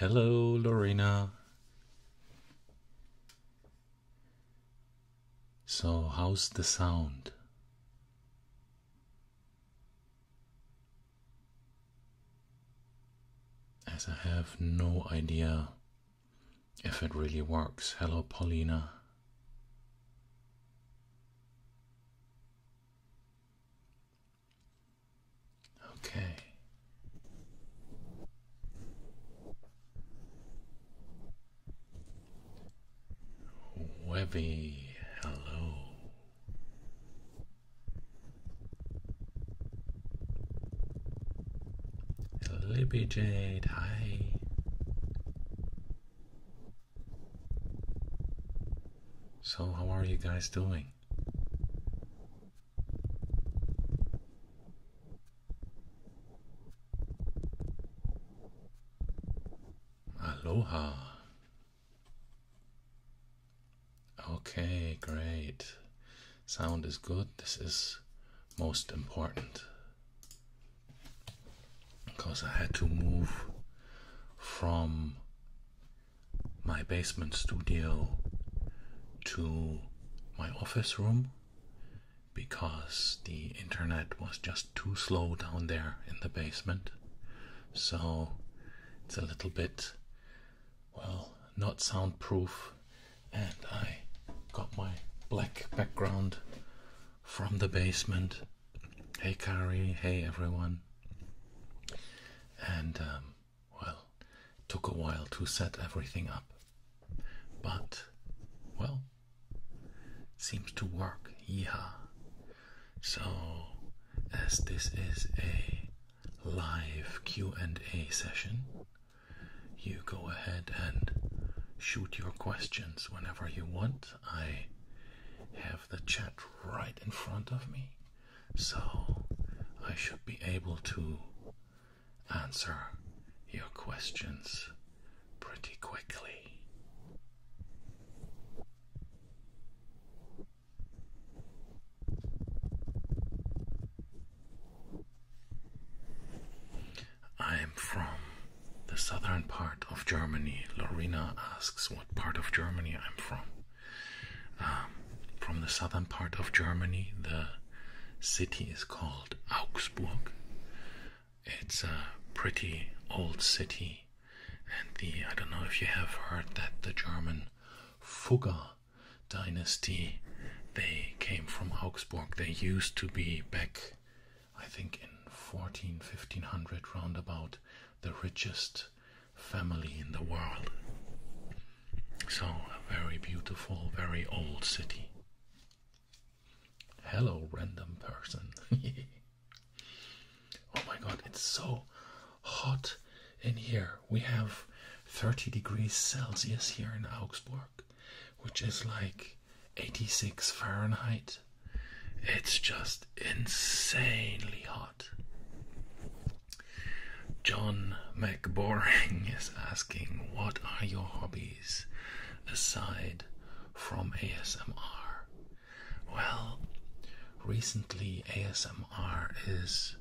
Hello, Lorena. So, how's the sound? As I have no idea if it really works. Hello, Paulina. Okay. Webby, hello. Libby Jade, hi. So, how are you guys doing? Aloha. Okay, great. Sound is good. This is most important because I had to move from my basement studio to my office room because the internet was just too slow down there in the basement. So it's a little bit, well, not soundproof. And I got my black background from the basement. Hey, Carrie. Hey, everyone. And um, well, took a while to set everything up. But, well, seems to work. Yeehaw. So, as this is a live Q&A session, you go ahead and shoot your questions whenever you want. I have the chat right in front of me. So I should be able to answer your questions pretty quickly. I am from the southern part of Germany. Lorena asks what part of Germany I'm from. Um, from the southern part of Germany, the city is called Augsburg. It's a pretty old city, and the I don't know if you have heard that the German Fugger dynasty they came from Augsburg. They used to be back, I think, in 14 1500 about the richest family in the world. So, a very beautiful, very old city. Hello, random person. oh my god, it's so hot in here. We have 30 degrees Celsius here in Augsburg, which is like 86 Fahrenheit. It's just insanely hot. John McBoring is asking, What are your hobbies aside from ASMR? Well, recently ASMR is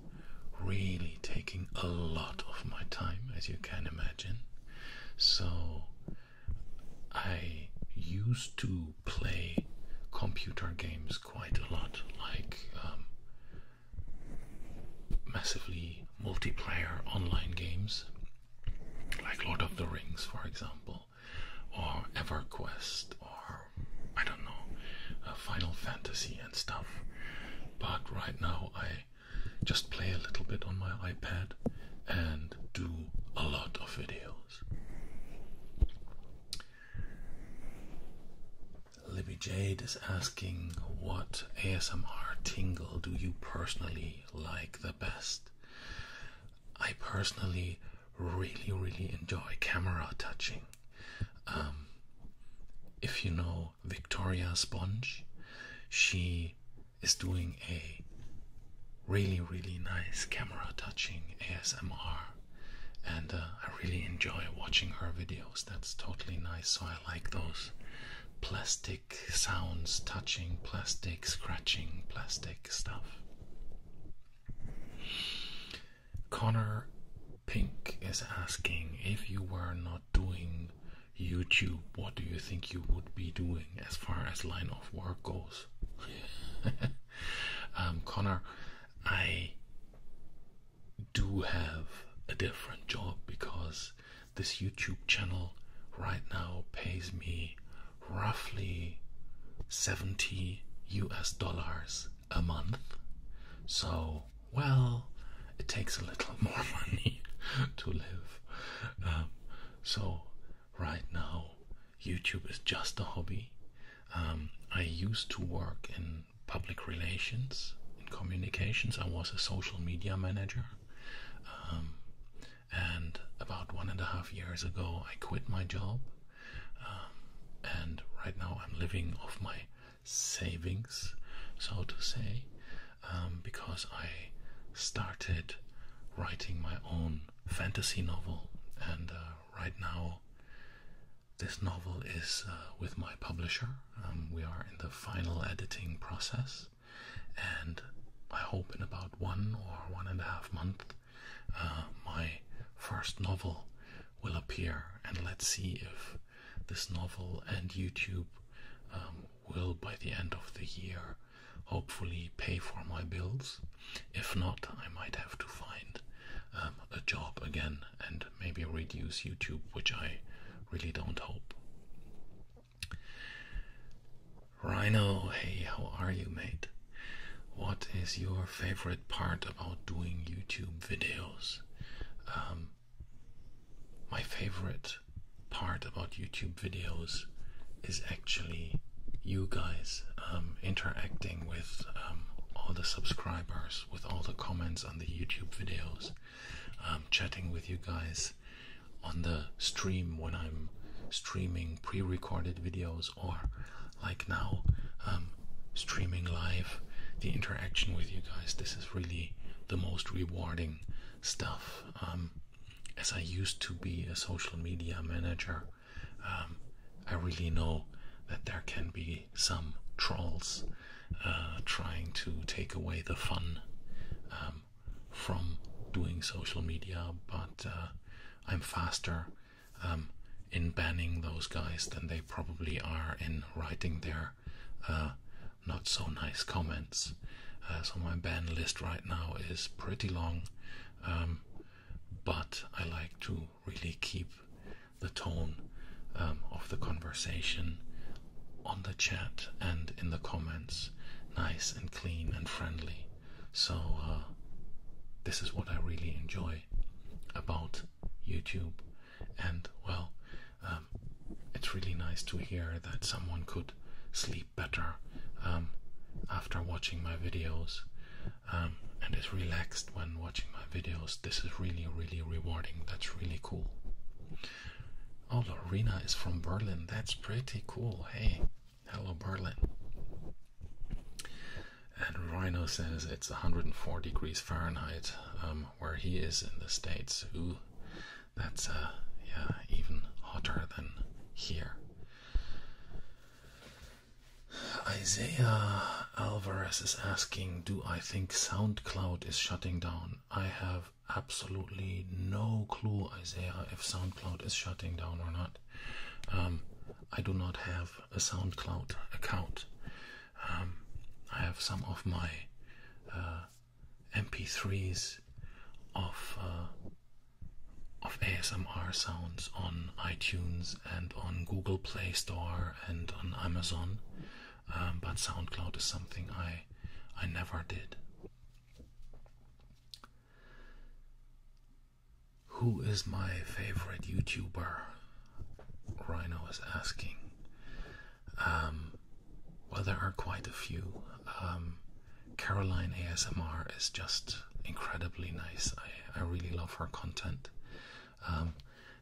really taking a lot of my time, as you can imagine. So I used to play computer games quite a lot, like um, massively multiplayer online games like Lord of the Rings, for example, or EverQuest, or I don't know, uh, Final Fantasy and stuff. But right now, I just play a little bit on my iPad and do a lot of videos. Libby Jade is asking, What ASMR tingle do you personally like the best? I personally really, really enjoy camera touching. Um, if you know Victoria Sponge, she is doing a really, really nice camera touching ASMR and uh, I really enjoy watching her videos. That's totally nice. So I like those plastic sounds, touching plastic, scratching plastic stuff. Connor Pink is asking if you were not doing YouTube, what do you think you would be doing as far as line of work goes? Um, Connor, I do have a different job because this YouTube channel right now pays me roughly 70 US dollars a month. So, well, it takes a little more money to live. Um, so, right now, YouTube is just a hobby. Um, I used to work in public relations, in communications. I was a social media manager. Um, and about one and a half years ago, I quit my job. Um, and right now, I'm living off my savings, so to say, um, because I started writing my own fantasy novel. And uh, right now, this novel is uh, with my publisher. Um, we are in the final editing process, and I hope in about one or one and a half months uh, my first novel will appear. And let's see if this novel and YouTube um, will, by the end of the year, hopefully pay for my bills. If not, I might have to find um, a job again and maybe reduce YouTube, which I really don't hope. Rhino, hey, how are you, mate? What is your favorite part about doing YouTube videos? Um, my favorite part about YouTube videos is actually you guys um, interacting with all the subscribers with all the comments on the YouTube videos, um, chatting with you guys on the stream when I'm streaming pre recorded videos or like now, um, streaming live. The interaction with you guys, this is really the most rewarding stuff. Um, as I used to be a social media manager, I really know that there can be some trolls uh, trying to take away the fun um, from doing social media, but uh, I'm faster um, in banning those guys than they probably are in writing their uh, not so nice comments. so my ban list right now is pretty long, um, but I like to really keep the tone um, of the conversation on the chat and in the comments nice and clean and friendly. So, uh, this is what I really enjoy about YouTube, and well, um, it's really nice to hear that someone could sleep better um, after watching my videos and is relaxed when watching videos. This is really, really rewarding. That's really cool. Oh, Lorena is from Berlin. That's pretty cool. Hey, hello, Berlin. And Rhino says it's 104 degrees Fahrenheit um, where he is in the States. Ooh, that's uh, yeah, even hotter than here. Isaiah Alvarez is asking, do I think SoundCloud is shutting down? I have absolutely no clue, Isaiah, if SoundCloud is shutting down or not. Um, I do not have a SoundCloud account. Um, I have some of my uh, MP3s of uh, of ASMR sounds on iTunes and on Google Play Store and on Amazon, um, but SoundCloud is something I I never did. Who is my favorite YouTuber? Rhino is asking. Um, well, there are quite a few. Um, Caroline ASMR is just incredibly nice. I, I really love her content. Um,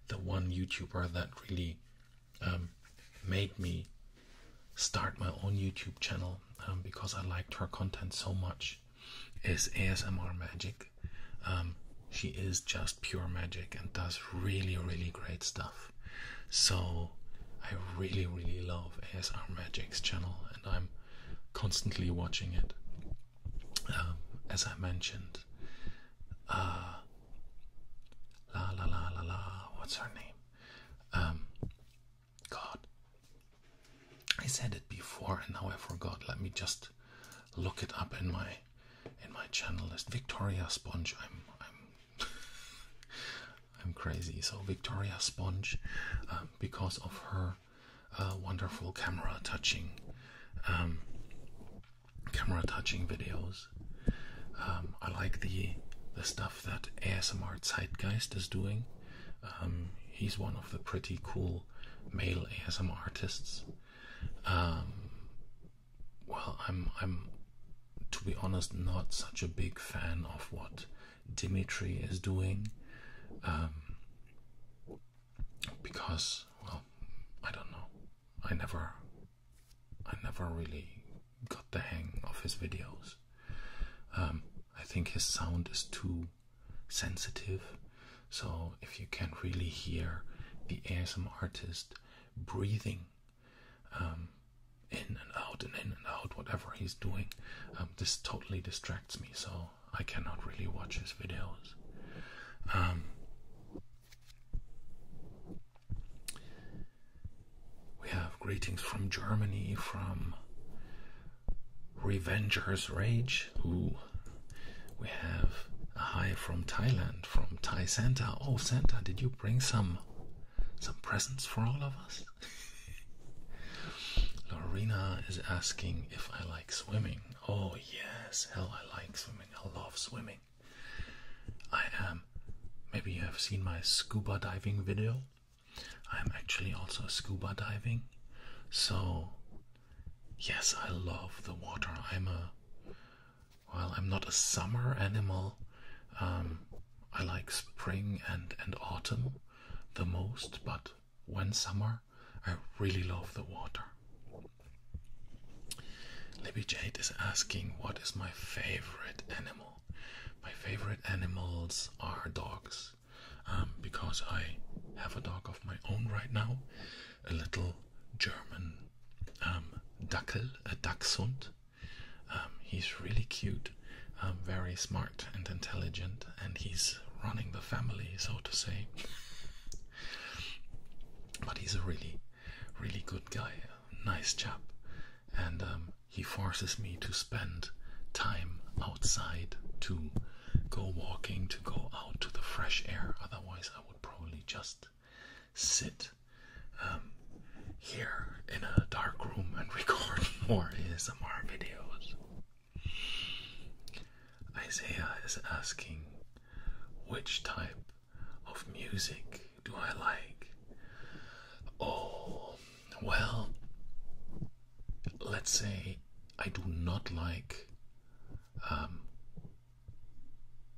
the one YouTuber that really um, made me start my own YouTube channel um, because I liked her content so much is ASMR Magic. she is just pure magic and does really, really great stuff. So I really, really love ASR Magic's channel and I'm constantly watching it. Um, as I mentioned, uh, la la la la la, what's her name? Um, God, I said it before and now I forgot. Let me just look it up in my in my channel list. Victoria Sponge. I'm I'm I'm crazy. So Victoria Sponge, um, because of her uh, wonderful camera touching camera touching videos. Um, I like the the stuff that ASMR Zeitgeist is doing. Um, he's one of the pretty cool male ASMR artists. Um, well, I'm I'm to be honest not such a big fan of what Dimitri is doing. Um, because well, I don't know. I never I never really got the hang of his videos. Um, I think his sound is too sensitive. So if you can really hear the ASM artist breathing um, in and out and in and out, whatever he's doing, um, this totally distracts me. So I cannot really watch his videos. We have greetings from Germany from Revenger's Rage. Who we have a hi from Thailand from Thai Santa. Oh, Santa, did you bring some some presents for all of us? Lorena is asking if I like swimming. Oh, yes, hell, I like swimming. I love swimming. I am, maybe you have seen my scuba diving video. I'm actually also scuba diving. So, yes, I love the water. I'm a, well, I'm not a summer animal. Um, I like spring and, and autumn the most, but when summer, I really love the water. Libby Jade is asking, What is my favorite animal? My favorite animals are dogs um, because I have a dog of my own right now, a little German um, Dackel, a Dachshund. Um, he's really cute, um, very smart and intelligent, and he's running the family, so to say. But he's a really, really good guy, nice chap, and um, he forces me to spend time outside to go walking, to go out to the fresh air. Otherwise, I would probably just sit um, here in a dark room and record more ASMR videos. Isaiah is asking which type of music do I like? Oh, well, let's say I do not like um,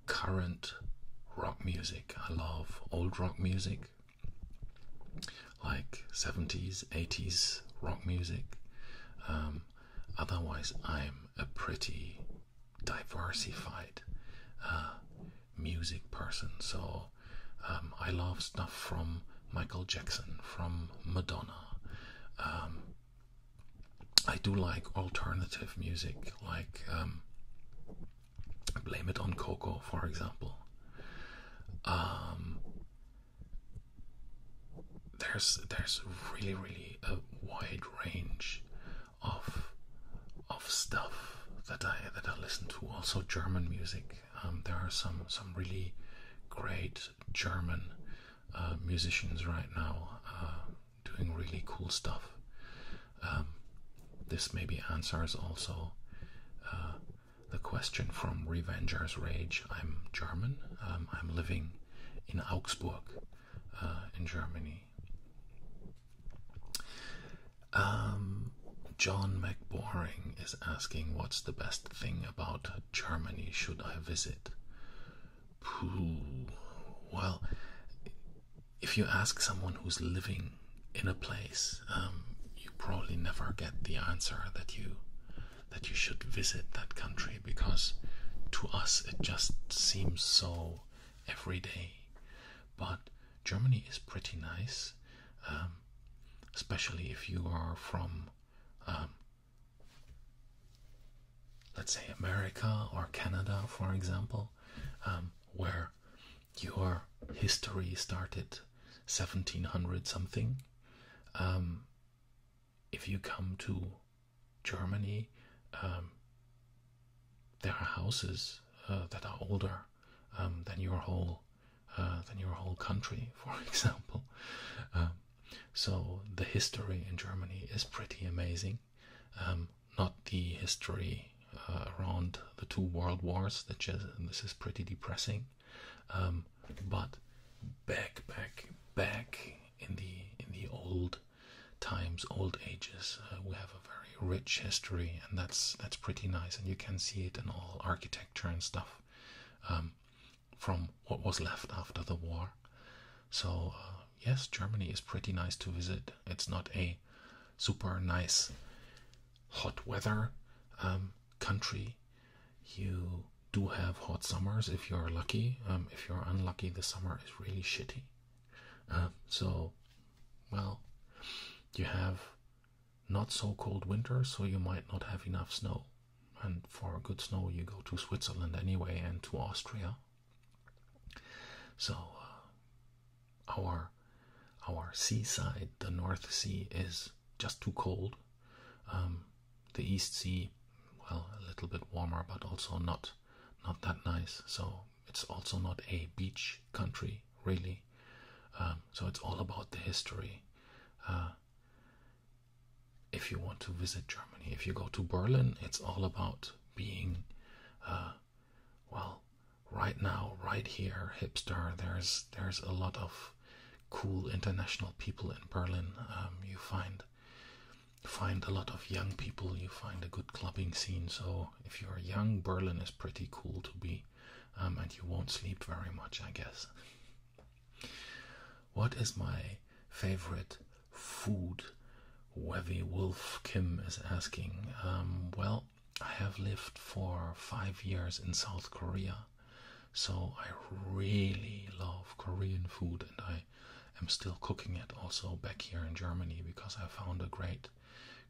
current rock music. I love old rock music, like 70s, 80s rock music. Um, otherwise, I'm a pretty diversified uh, music person. So um, I love stuff from Michael Jackson, from Madonna. Um, I do like alternative music, like um, Blame It on Coco, for example there's there's really really a wide range of of stuff that I that I listen to. Also German music. Um, there are some some really great German uh, musicians right now uh, doing really cool stuff. Um, this maybe answers also uh, the question from Revenger's Rage. I'm German. Um, I'm living in Augsburg in Germany. Um, John McBoring is asking, "What's the best thing about Germany? Should I visit?" Well, if you ask someone who's living in a place, um, you probably never get the answer that you that you should visit that country because to us it just seems so everyday. But Germany is pretty nice, um, especially if you are from, um, let's say, America or Canada, for example, um, where your history started 1700 something if you come to Germany, um, there are houses uh, that are older um, than your whole uh, than your whole country, for example. Um, so the history in Germany is pretty amazing. not the history uh, around the two world wars. That this is pretty depressing. but back, back, back in the in the old times, old ages. Uh, we have a very rich history, and that's that's pretty nice. And you can see it in all architecture and stuff um, from what was left after the war. So uh, yes, Germany is pretty nice to visit. It's not a super nice hot weather um, country. You do have hot summers if you're lucky. Um, if you're unlucky, the summer is really shitty. Um, so, well, you have not so cold winter, so you might not have enough snow. And for good snow, you go to Switzerland anyway and to Austria. So, uh, our our seaside, the North Sea, is just too cold. Um, the East Sea well a little bit warmer, but also not not that nice. So it's also not a beach country really. Um, so it's all about the history. Uh, if you want to visit Germany, if you go to Berlin, it's all about being, uh, well, right now, right here, hipster. There's there's a lot of cool international people in Berlin. Um, you find find a lot of young people, you find a good clubbing scene. So if you're young, Berlin is pretty cool to be, um, and you won't sleep very much, I guess. What is my favorite food? Webby Wolf Kim is asking. Um, well, I have lived for five years in South Korea, so I really love Korean food and I I am still cooking it also back here in Germany because I found a great,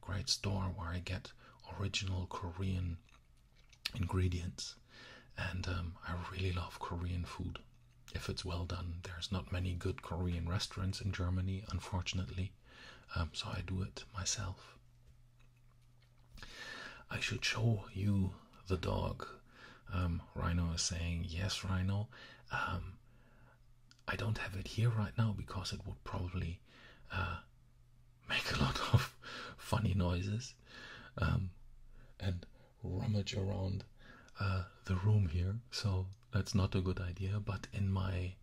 great store where I get original Korean ingredients. And um, I really love Korean food if it's well done. There's not many good Korean restaurants in Germany, unfortunately, um, so I do it myself. I should show you the dog. Um, Rhino is saying, Yes, Rhino. I don't have it here right now because it would probably uh, make a lot of funny noises um, and rummage around uh, the room here, so that's not a good idea. But in my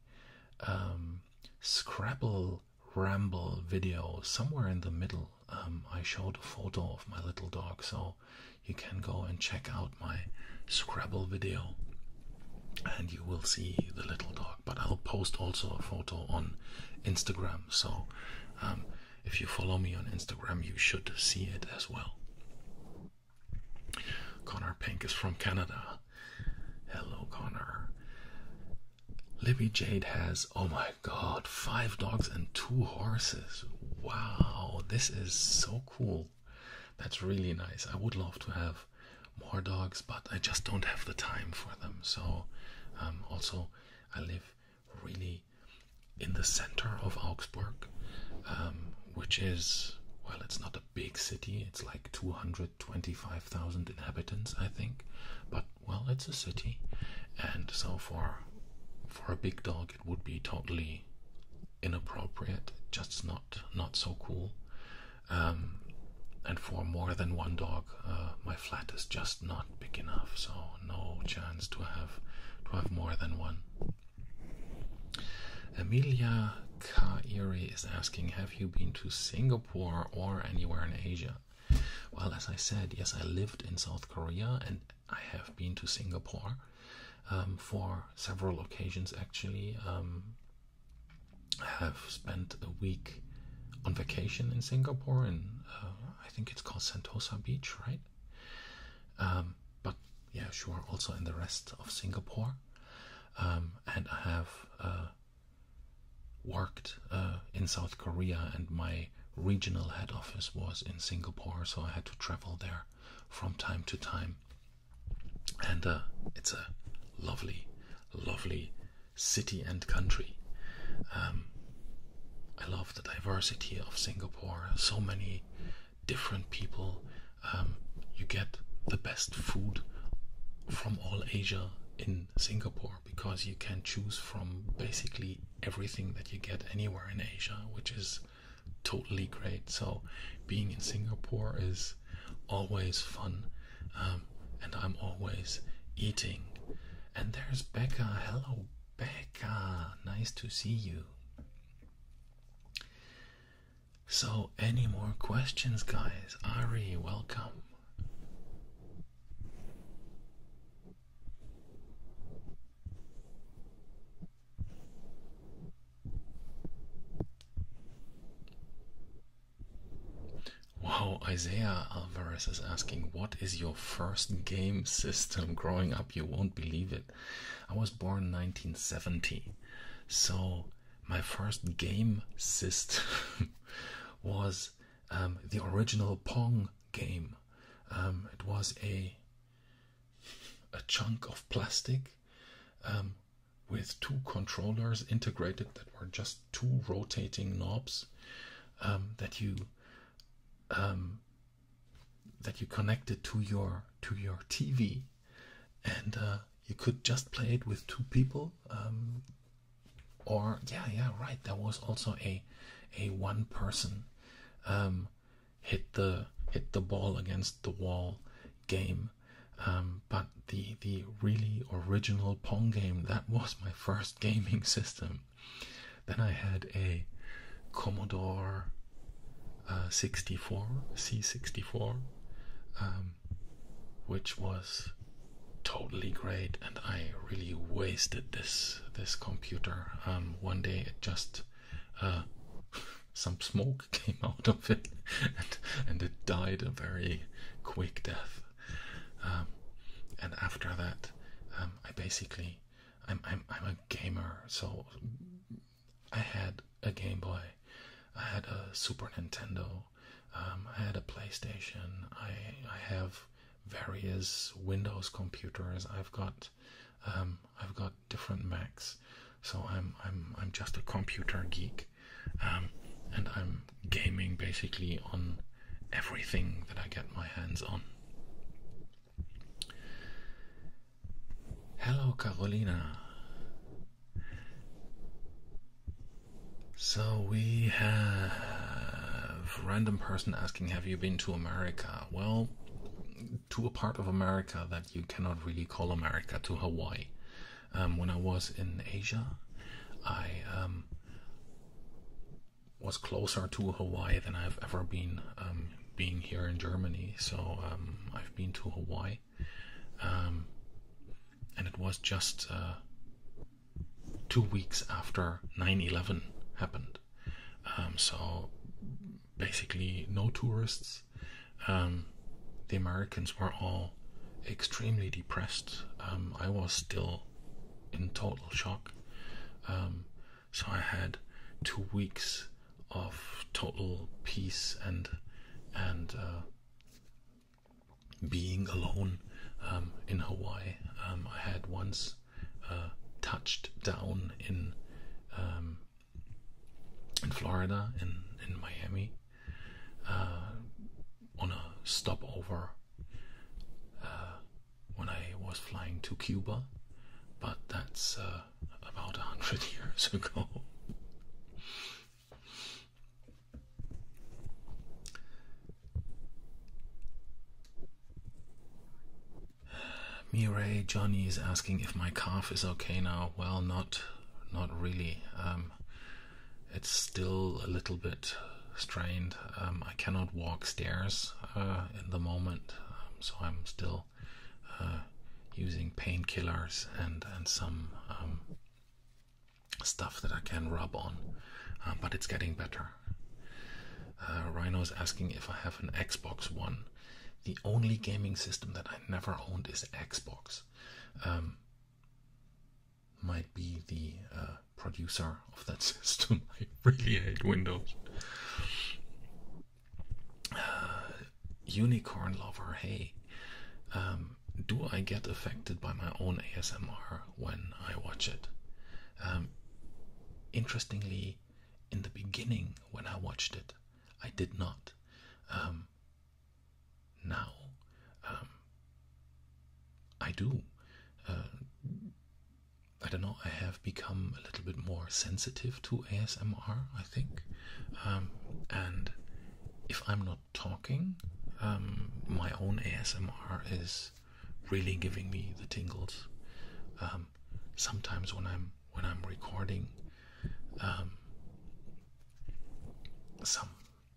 um, Scrabble ramble video, somewhere in the middle, um, I showed a photo of my little dog, so you can go and check out my Scrabble video and you will see the little dog. But I'll post also a photo on Instagram. So um, if you follow me on Instagram, you should see it as well. Connor Pink is from Canada. Hello, Connor. Libby Jade has, oh my god, five dogs and two horses. Wow, this is so cool that's really nice. I would love to have more dogs, but I just don't have the time for them. So, um, also, I live really in the center of Augsburg, um, which is well, it's not a big city, it's like 225,000 inhabitants, I think, but well, it's a city, and so for for a big dog, it would be totally inappropriate, just not not so cool. Um, and for more than one dog, uh, my flat is just not big enough, so no chance to have to have more than one. Amelia Kairi is asking, have you been to Singapore or anywhere in Asia? Well, as I said, yes, I lived in South Korea and I have been to Singapore um, for several occasions actually. Um, I have spent a week on vacation in Singapore, and uh, I think it's called Sentosa Beach, right? Um, but yeah, sure, also in the rest of Singapore. and I have uh, worked uh, in South Korea, and my regional head office was in Singapore, so I had to travel there from time to time. And uh, it's a lovely, lovely city and country. Um, I love the diversity of Singapore, so many different people. Um, you get the best food from all Asia in Singapore because you can choose from basically everything that you get anywhere in Asia, which is totally great. So being in Singapore is always fun, um, and I'm always eating. And there's Becca. Hello, Becca. Nice to see you. So, any more questions, guys? Ari, welcome. Wow, Isaiah Alvarez is asking, What is your first game system growing up? You won't believe it. I was born in 1970, so my first game system was um, the original Pong game. Um, it was a a chunk of plastic um, with two controllers integrated that were just two rotating knobs um, that you um, that you connected to your to your TV, and uh, you could just play it with two people. or yeah, yeah, right. There was also a a one person hit the hit the ball against the wall game. Um, but the the really original Pong game that was my first gaming system. Then I had a Commodore uh, 64 C64, um, which was totally great, and I really wasted this this computer. Um, one day it just uh, some smoke came out of it and, it died a very quick death. Um, and after that, um, I basically, I'm, a gamer, so I had a Game Boy, I had a Super Nintendo, um, I had a PlayStation, I have various Windows computers, I've got um, I've got different Macs, so I'm I'm I'm just a computer geek, um, and I'm gaming basically on everything that I get my hands on. Hello, Carolina. So we have random person asking, "Have you been to America?" Well, to a part of America that you cannot really call America, to Hawaii. Um, when I was in Asia, I um, was closer to Hawaii than I've ever been um, being here in Germany. So I've been to Hawaii, and it was just uh, two weeks after 9/11 happened. so basically no tourists. Um, the Americans were all extremely depressed. Um, I was still in total shock. Um, so I had two weeks of total peace and and uh, being alone in Hawaii. I had once uh, touched down in in Florida in, in Miami uh, on a stopover uh, when I was flying to Cuba, but that's uh, about a hundred years ago. Mireille, Johnny is asking if my calf is okay now. Well, not, not really. Um, it's still a little bit strained. Um, I cannot walk stairs uh, in the moment, um, so I'm still uh, using painkillers and and some um, stuff that I can rub on, uh, but it's getting better. Uh, Rhino is asking if I have an Xbox One. The only gaming system that I never owned is Xbox. Um, might be the uh, producer of that system. I really hate Windows. Uh, unicorn lover, hey, um, do I get affected by my own ASMR when I watch it? Um, interestingly, in the beginning, when I watched it, I did not. Um, now, um, I do. Uh, I don't know. I have become a little bit more sensitive to ASMR. I think, um, and if I'm not talking, my own ASMR is really giving me the tingles. sometimes when I'm when I'm recording um, some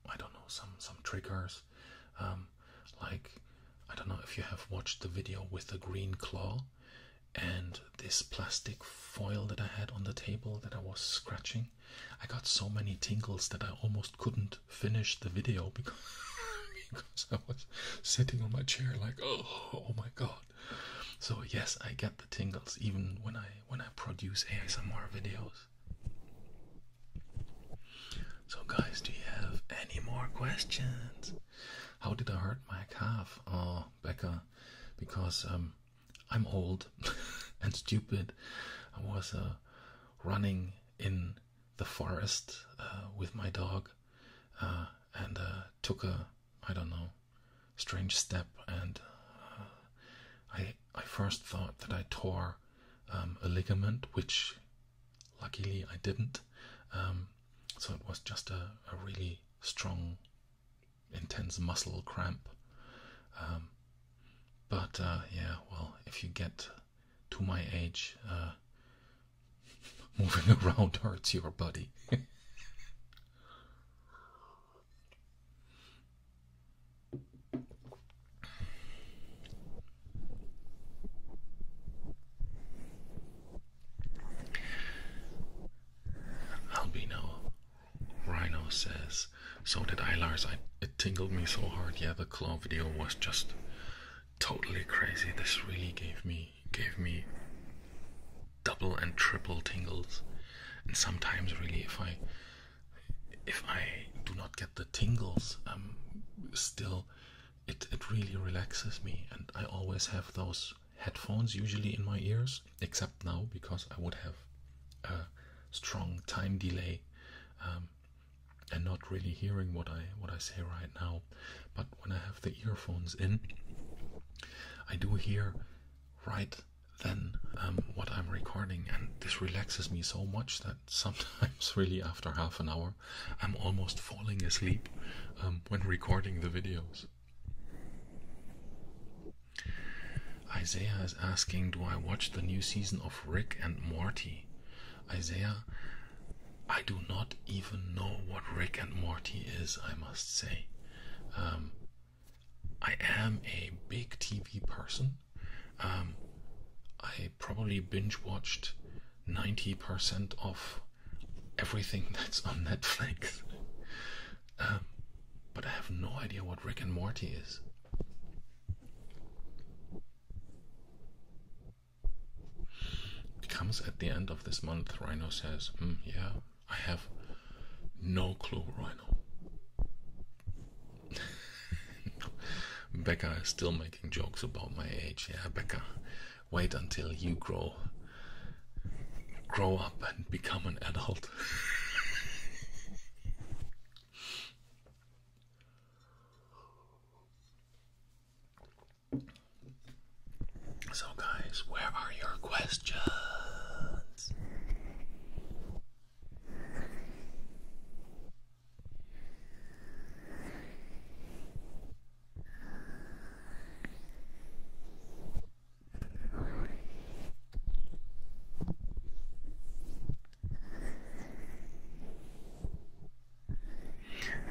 I don't know some some triggers um, like I don't know if you have watched the video with the green claw and this plastic foil that I had on the table that I was scratching. I got so many tingles that I almost couldn't finish the video because because I was sitting on my chair like oh oh my god so yes, I get the tingles even when I when I produce ASMR videos. So guys, do you have any more questions? How did I hurt my calf? Oh, Becca, because um, I'm old and stupid. I was uh, running in the forest uh, with my dog uh, and took a I don't know strange step, and uh, I I first thought that I tore um, a ligament, which luckily I didn't. Um, so it was just a, really strong, intense muscle cramp. Um, but uh, yeah, well, if you get to my age, uh, moving around hurts your body. Albino Rhino says, so did I, Lars. it tingled me so hard. Yeah, the claw video was just totally crazy. This really gave me gave me double and triple tingles and sometimes really if i if i do not get the tingles I'm um, still it it really relaxes me and i always have those headphones usually in my ears except now because i would have a strong time delay um, and not really hearing what i what i say right now but when i have the earphones in i do hear right then um, what I'm recording, and this relaxes me so much that sometimes, really, after half an hour, I'm almost falling asleep um, when recording the videos. Isaiah is asking, Do I watch the new season of Rick and Morty? Isaiah, I do not even know what Rick and Morty is, I must say. Um, I am a big TV person. Um, I probably binge watched 90% of everything that's on Netflix. Um, but I have no idea what Rick and Morty is. Comes at the end of this month, Rhino says. Hmm, yeah, I have no clue where I know. Becca is still making jokes about my age. Yeah, Becca, wait until you grow grow up and become an adult. So, guys, where are your questions?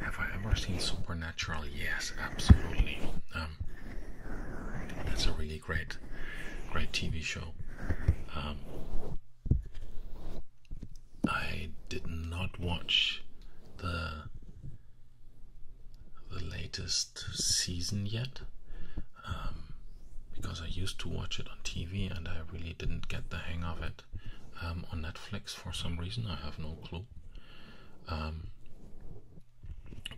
Have I ever seen Supernatural? Yes, absolutely. Um, that's a really great, great TV show. Um, I did not watch the the latest season yet um, because I used to watch it on TV and I really didn't get the hang of it um, on Netflix for some reason. I have no clue.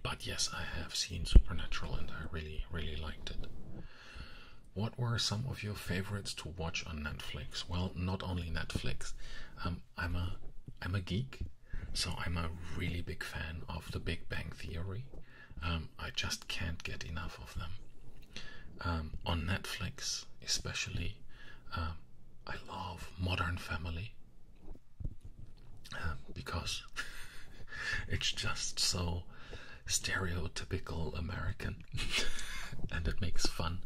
But yes, I have seen Supernatural and I really, really liked it. What were some of your favorites to watch on Netflix? Well, not only Netflix. Um, I'm a I'm a geek, so I'm a really big fan of The Big Bang Theory. Um, I just can't get enough of them. Um, on Netflix, especially, I love Modern Family because it's just so stereotypical American, and it makes fun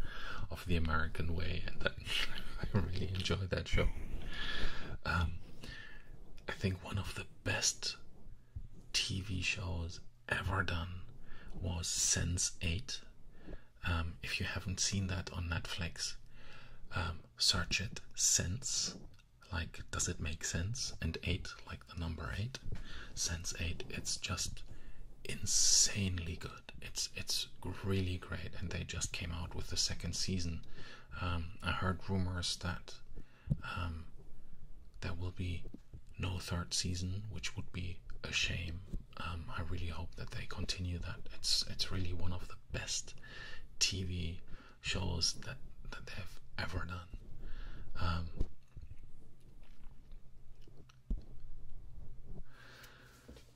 of the American way, and I really enjoyed that show. Um, I think one of the best TV shows ever done was Sense Eight. Um, if you haven't seen that on Netflix, um, search it sense, like does it make sense, and 8, like the number 8, sense 8, it's just insanely good. It's it's really great, and they just came out with the second season. Um, I heard rumors that um, there will be no third season, which would be a shame. Um, I really hope that they continue that. It's it's really one of the best TV shows that that they have ever done. Um,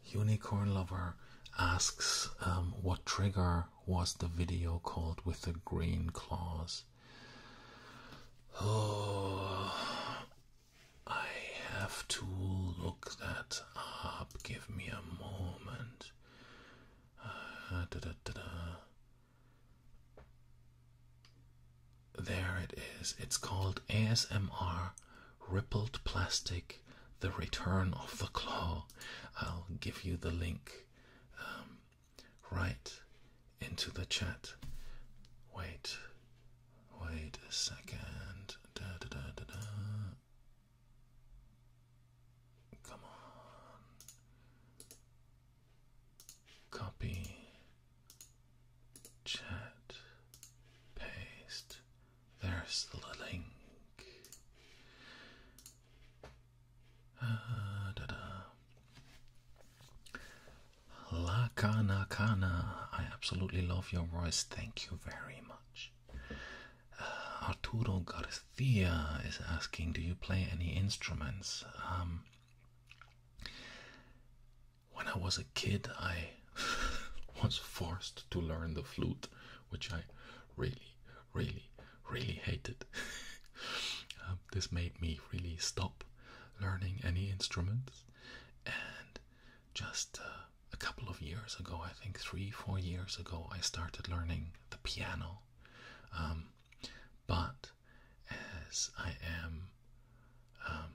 Unicorn Lover asks um, what trigger was the video called with the green claws? Oh, I have to look that up. Give me a moment. There it is. It's called ASMR Rippled Plastic The Return of the Claw. I'll give you the link um, right into the chat. Wait, wait a second. Come on. Copy. Chat. Paste. There's the link. Ah, La Kana Kana. I absolutely love your voice. Thank you very much. Uh, Arturo Garcia is asking, do you play any instruments? Um, when I was a kid, I was forced to learn the flute, which I really, really, really hated. Uh, this made me really stop learning any instruments and just uh, a couple of years ago, I think three, four years ago, I started learning the piano. Um, but as I am um,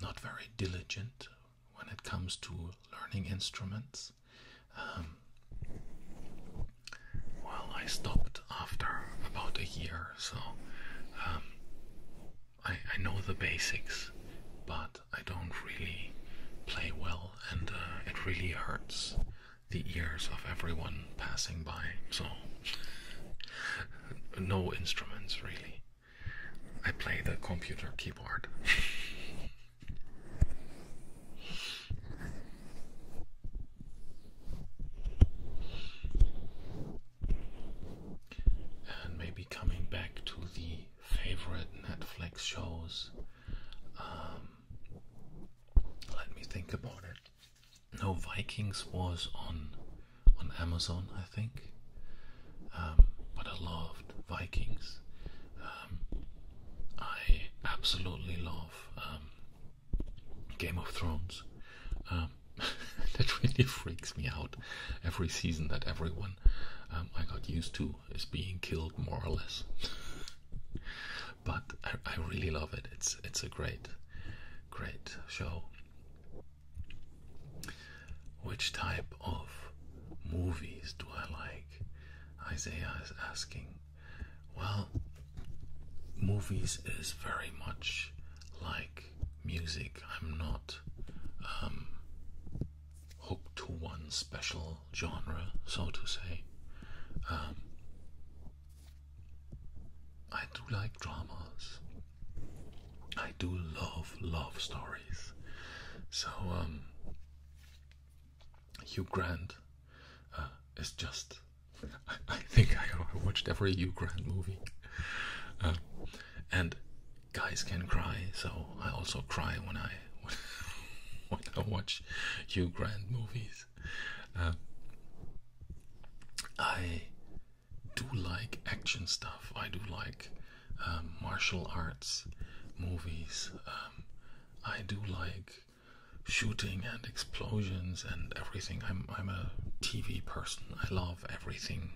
not very diligent when it comes to learning instruments, um, well, I stopped after about a year, so I know the basics, but I don't really play well, and uh, it really hurts the ears of everyone passing by. So, no instruments really. I play the computer keyboard. and maybe coming back to the favorite Netflix shows um, let me think about it. No, Vikings was on on Amazon, I think. Um, but I loved Vikings. Um, I absolutely love Game of Thrones. that really freaks me out every season that everyone I got used to is being killed more or less. but I, really love it. It's it's a great, great show. Which type of movies do I like? Isaiah is asking. Well, movies is very much like music. I'm not um, Hooked to one special genre, so to say. Um, I do like dramas. I do love love stories. So um, Hugh Grant uh, is just. I, think I watched every Hugh Grant movie, uh, and guys can cry. So I also cry when I when, I watch Hugh Grant movies. Um, I do like action stuff. I do like um, martial arts movies. Um, I do like shooting and explosions and everything. I'm I'm a TV person. I love everything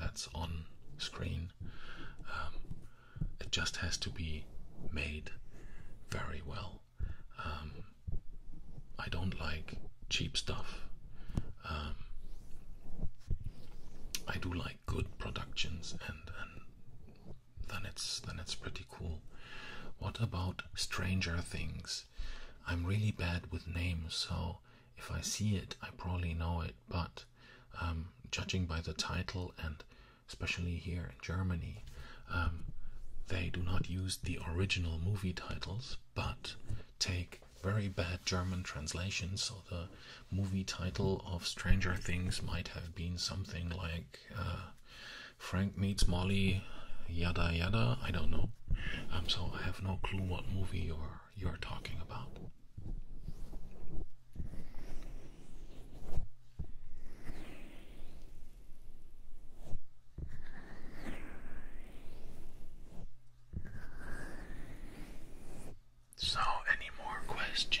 that's on screen. It just has to be made very well. Um, I don't like cheap stuff. Um, I do like good productions, and, then it's then it's pretty cool. What about Stranger Things? I'm really bad with names, so if I see it, I probably know it. But um, judging by the title and especially here in Germany, um, they do not use the original movie titles but take very bad German translations. So the movie title of Stranger Things might have been something like uh, Frank Meets Molly, yada yada. I don't know. Um, so I have no clue what movie you're, you're talking about. So, any more questions?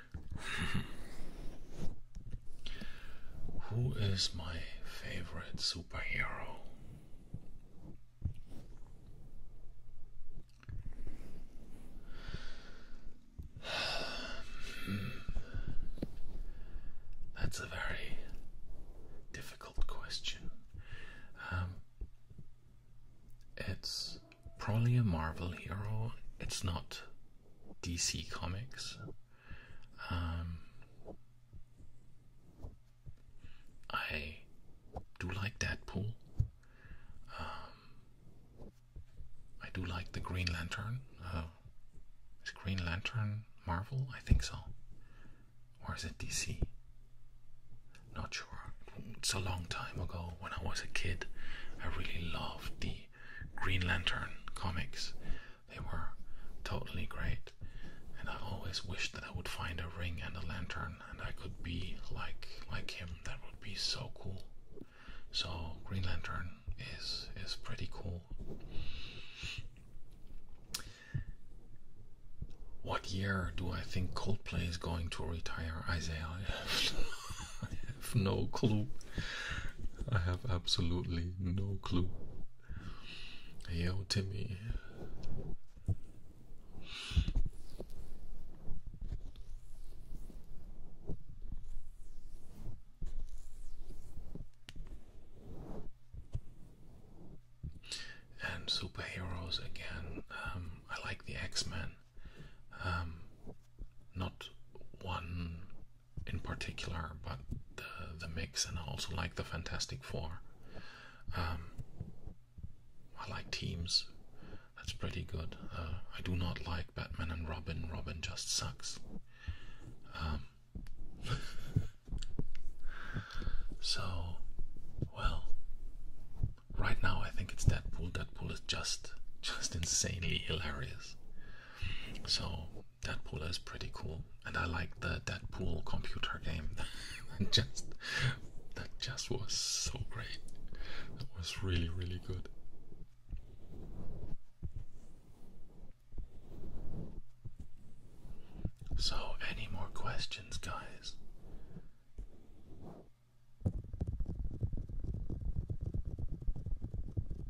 Who is my favorite superhero? That's a very difficult question. Um, it's probably a Marvel hero. It's not DC Comics. Um, I do like Deadpool. Um, I do like the Green Lantern. Uh, is Green Lantern Marvel? I think so. Or is it DC? Not sure. It's a long time ago when I was a kid. I really loved the Green Lantern comics. They were totally great, and I always wished that I would find a ring and a lantern, and I could be like like him. That would be so cool. So Green Lantern is is pretty cool. What year do I think Coldplay is going to retire? Isaiah, I have, I have no clue. I have absolutely no clue. Yo, Timmy. And superheroes again. Um, I like the X Men. Um, not one in particular, but the, the mix, and I also like the Fantastic Four. Um, I like teams. That's pretty good. Uh, I do not like Batman and Robin. Robin just sucks. Um, so, well, right now I think it's Deadpool. Deadpool is just, just insanely hilarious. So Deadpool is pretty cool, and I like the Deadpool computer game. that just that just was so great. That was really really good. So, any more questions, guys?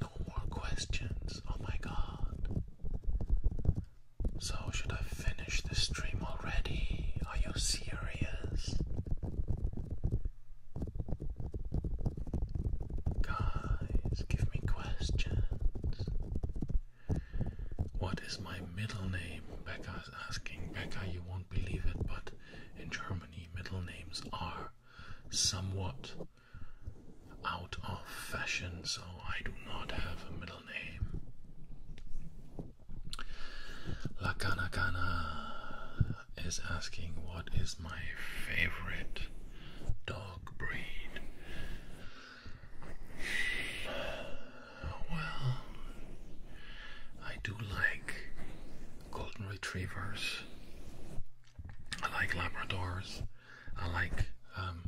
No more questions. Oh, my God. So, should I finish the stream already? Are you serious? Guys, give me questions. What is my middle name? Becca is asking. Becca, you won't believe it, but in Germany, middle names are somewhat out of fashion, so I do not have a middle La name. Lakanakana is asking what is my favorite dog breed. Well, I do like golden retrievers. I like labradors. I like um,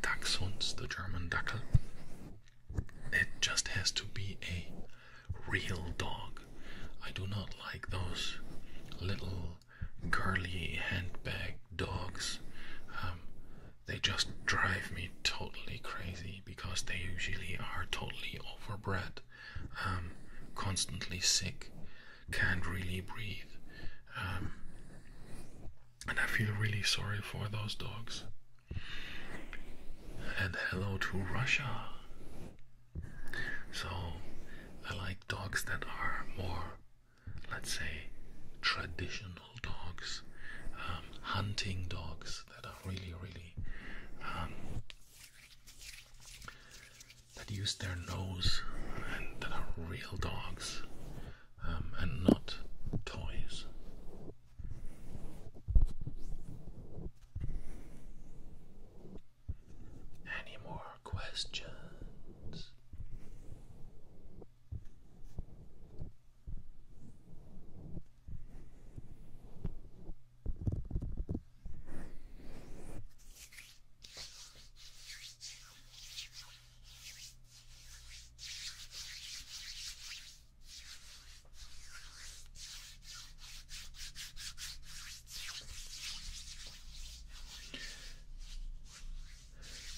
Dachshunds, the German Dackel. It just has to be a real dog. I do not like those little girly handbag dogs. Um, they just drive me totally crazy because they usually are totally overbred, um, constantly sick, can't really breathe. Um, and I feel really sorry for those dogs. And hello to Russia. So I like dogs that are more, let's say, traditional dogs, um, hunting dogs that are really, really. Um, that use their nose and that are real dogs um, and not toys. Any more questions?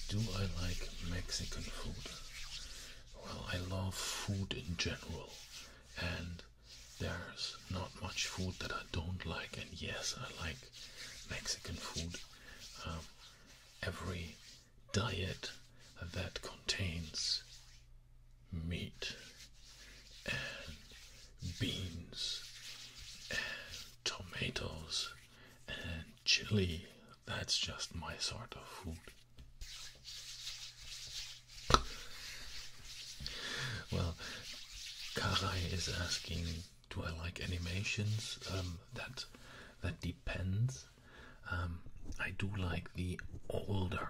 Do I like Mexican food? Well, I love food in general, and there's not much food that I don't like. And yes, I like Mexican food. Um, every diet that contains meat and beans and tomatoes and chili. That's just my sort of food. Well, Karai is asking do I like animations? Um, that that depends. Um, I do like the older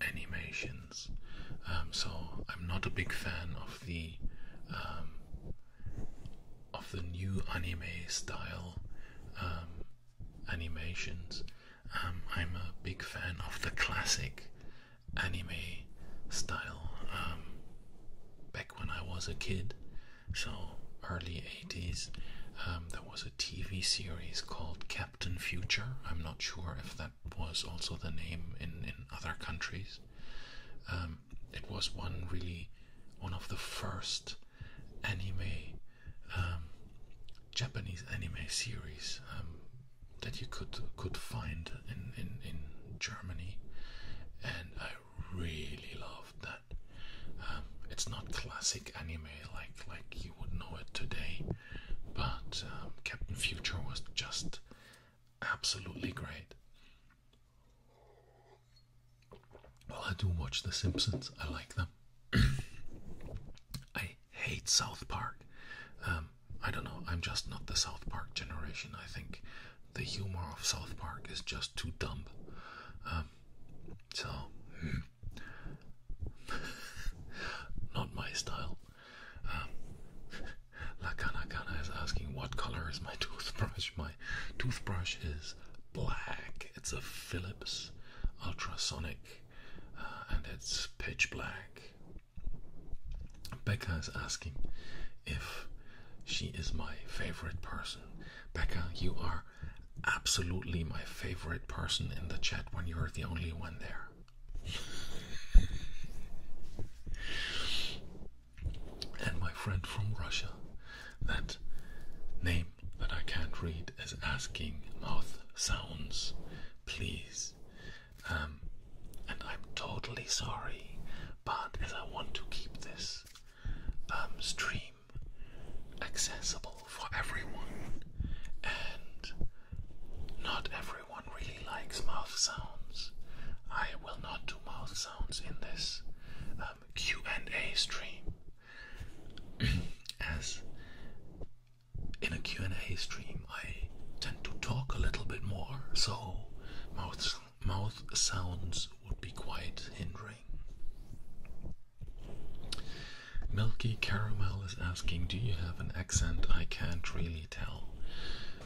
animations, um, so I'm not a big fan of the of the new anime style animations. I'm a big fan of the classic anime style. back when I was a kid, so early 80s. Um, there was a TV series called Captain Future. I'm not sure if that was also the name in, in other countries. Um, it was one really one of the first anime um, Japanese anime series that you could could find in, in Germany and I really loved that. Um, it's not classic anime like like you would know it today, but um, Captain Future was just absolutely great. Well, I do watch The Simpsons. I like them. I hate South Park. Um, I don't know. I'm just not the South Park generation. I think the humor of South Park is just too dumb. Um, so, hmm. not my style. Um, Kana is asking, What color is my toothbrush? My toothbrush is black. It's a Philips ultrasonic uh, and it's pitch black. Becca is asking if she is my favorite person. Becca, you are absolutely my favorite person in the chat when you're the only one there. and my friend from Russia, that name that I can't read, is asking mouth sounds, please. Um, and I'm totally sorry, but as I want to keep this um, stream accessible for everyone, and not everyone really likes mouth sounds. I will not do mouth sounds in this um, Q and A stream, as in a Q and A stream I tend to talk a little bit more, so mouth sounds mouth sounds would be quite hindering. Milky Caramel is asking, Do you have an accent? I can't really tell.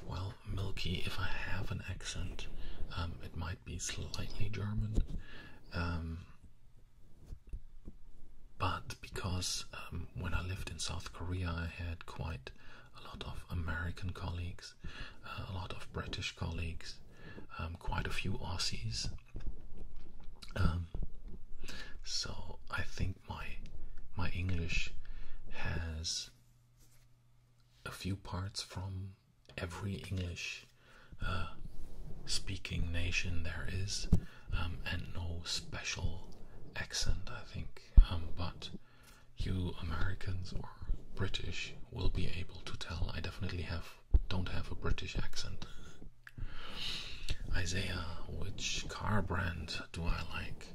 Well, Milky, if I have an accent, um, it might be slightly German. Um, but because um, when I lived in South Korea, I had quite a lot of American colleagues uh, a lot of British colleagues, um, quite a few Aussies. Um, so I think my my English has a few parts from every English uh, speaking nation there is, um, and no special accent, I think. but you Americans or British will be able to tell I definitely have don't have a British accent. Isaiah, which car brand do I like?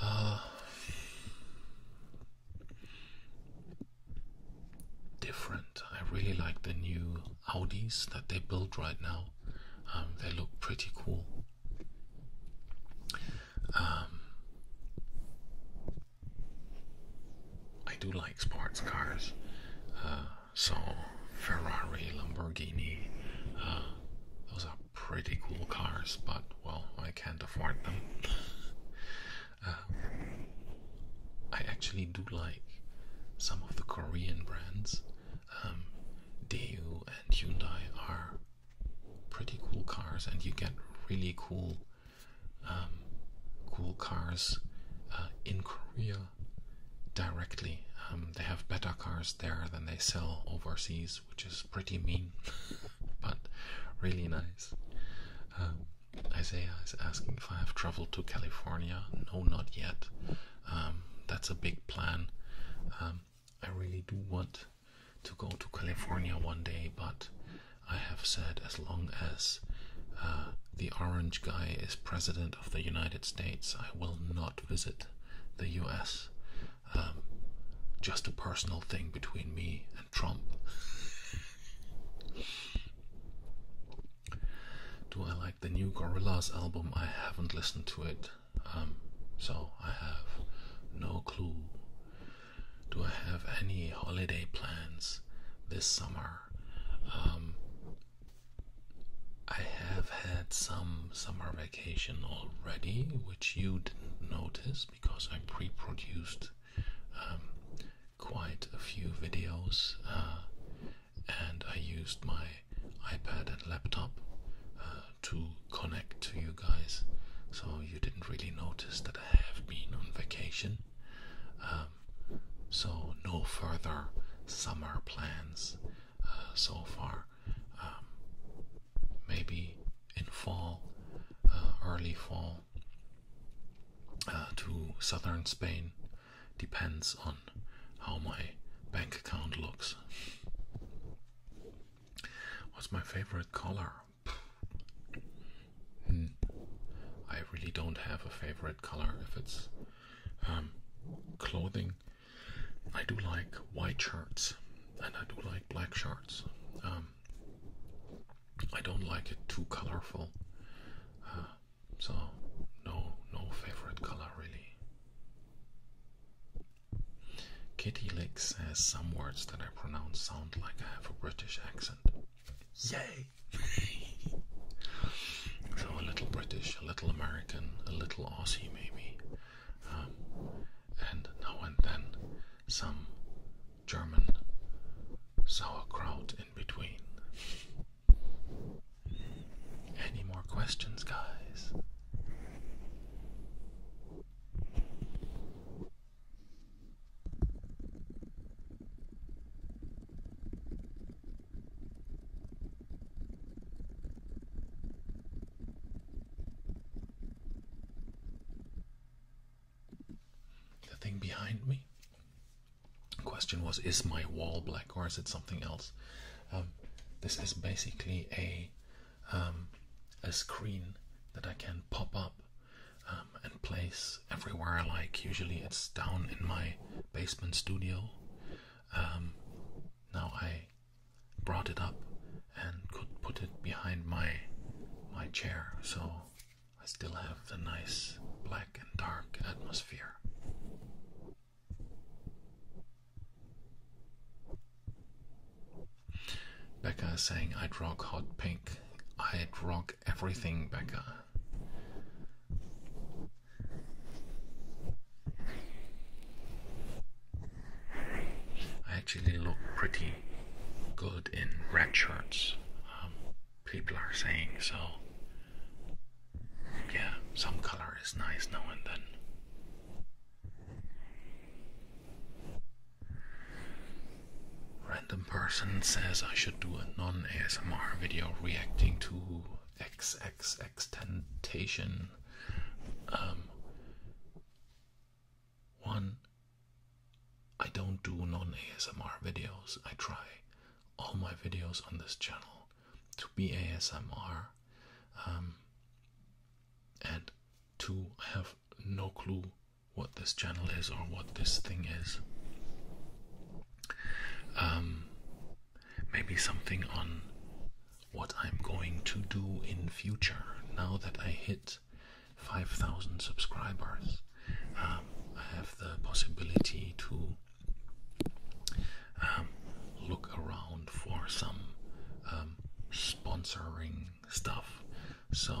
Uh, different. I really like the new Audis that they build right now. Um, they look pretty cool. Um, I do like sports cars, uh, so Ferrari, Lamborghini, uh, those are pretty cool cars, but well, I can't afford them. Uh, I actually do like some of the Korean brands. Um, Daewoo and Hyundai are pretty cool cars, and you get really cool um, cool cars uh, in Korea directly. Um, they have better cars there than they sell overseas, which is pretty mean, but really nice. Um, Isaiah is asking if I have traveled to California. No, not yet. that's a big plan. I really do want to go to California one day, but I have said as long as uh, the orange guy is president of the United States, I will not visit the US. Um, just a personal thing between me and Trump. Do I like the new Gorillaz album? I haven't listened to it, um, so I have no clue. Do I have any holiday plans this summer? Um, I have had some summer vacation already, which you didn't notice because I pre produced um, quite a few videos uh, and I used my iPad and laptop uh, to connect to you guys. So you didn't really notice that I have been on vacation. Um, so, no further summer plans uh, so far. Um, maybe in fall, uh, early fall, uh, to southern Spain depends on how my bank account looks. What's my favorite color? Hmm. I really don't have a favorite color. If it's um, clothing, I do like white shirts and I do like black shirts. Um, I don't like it too colorful. Uh, so no, no favorite color really. Kitty Lick says some words that I pronounce sound like I have a British accent. Yay! so a little British, a little American, a little Aussie maybe, um, and now and then some German sauerkraut in between. Any more questions, guys? The thing behind me. Question was: Is my wall black or is it something else? Um, this is basically a um, a screen that I can pop up um, and place everywhere I like. Usually it's down in my basement studio. Um, now I brought it up and could put it behind my my chair, so I still have the nice black and dark atmosphere. Becca is saying I'd rock hot pink. I'd rock everything, Becca. I actually look pretty good in red shirts. Um, people are saying so. Yeah, some color is nice now and then. Random person says I should do a non ASMR video reacting to XXX Temptation. Um, one, I don't do non ASMR videos. I try all my videos on this channel to be ASMR. Um, and two, I have no clue what this channel is or what this thing is. Um, maybe something on what I'm going to do in future now that I hit 5,000 subscribers. Um, I have the possibility to um, look around for some sponsoring stuff. So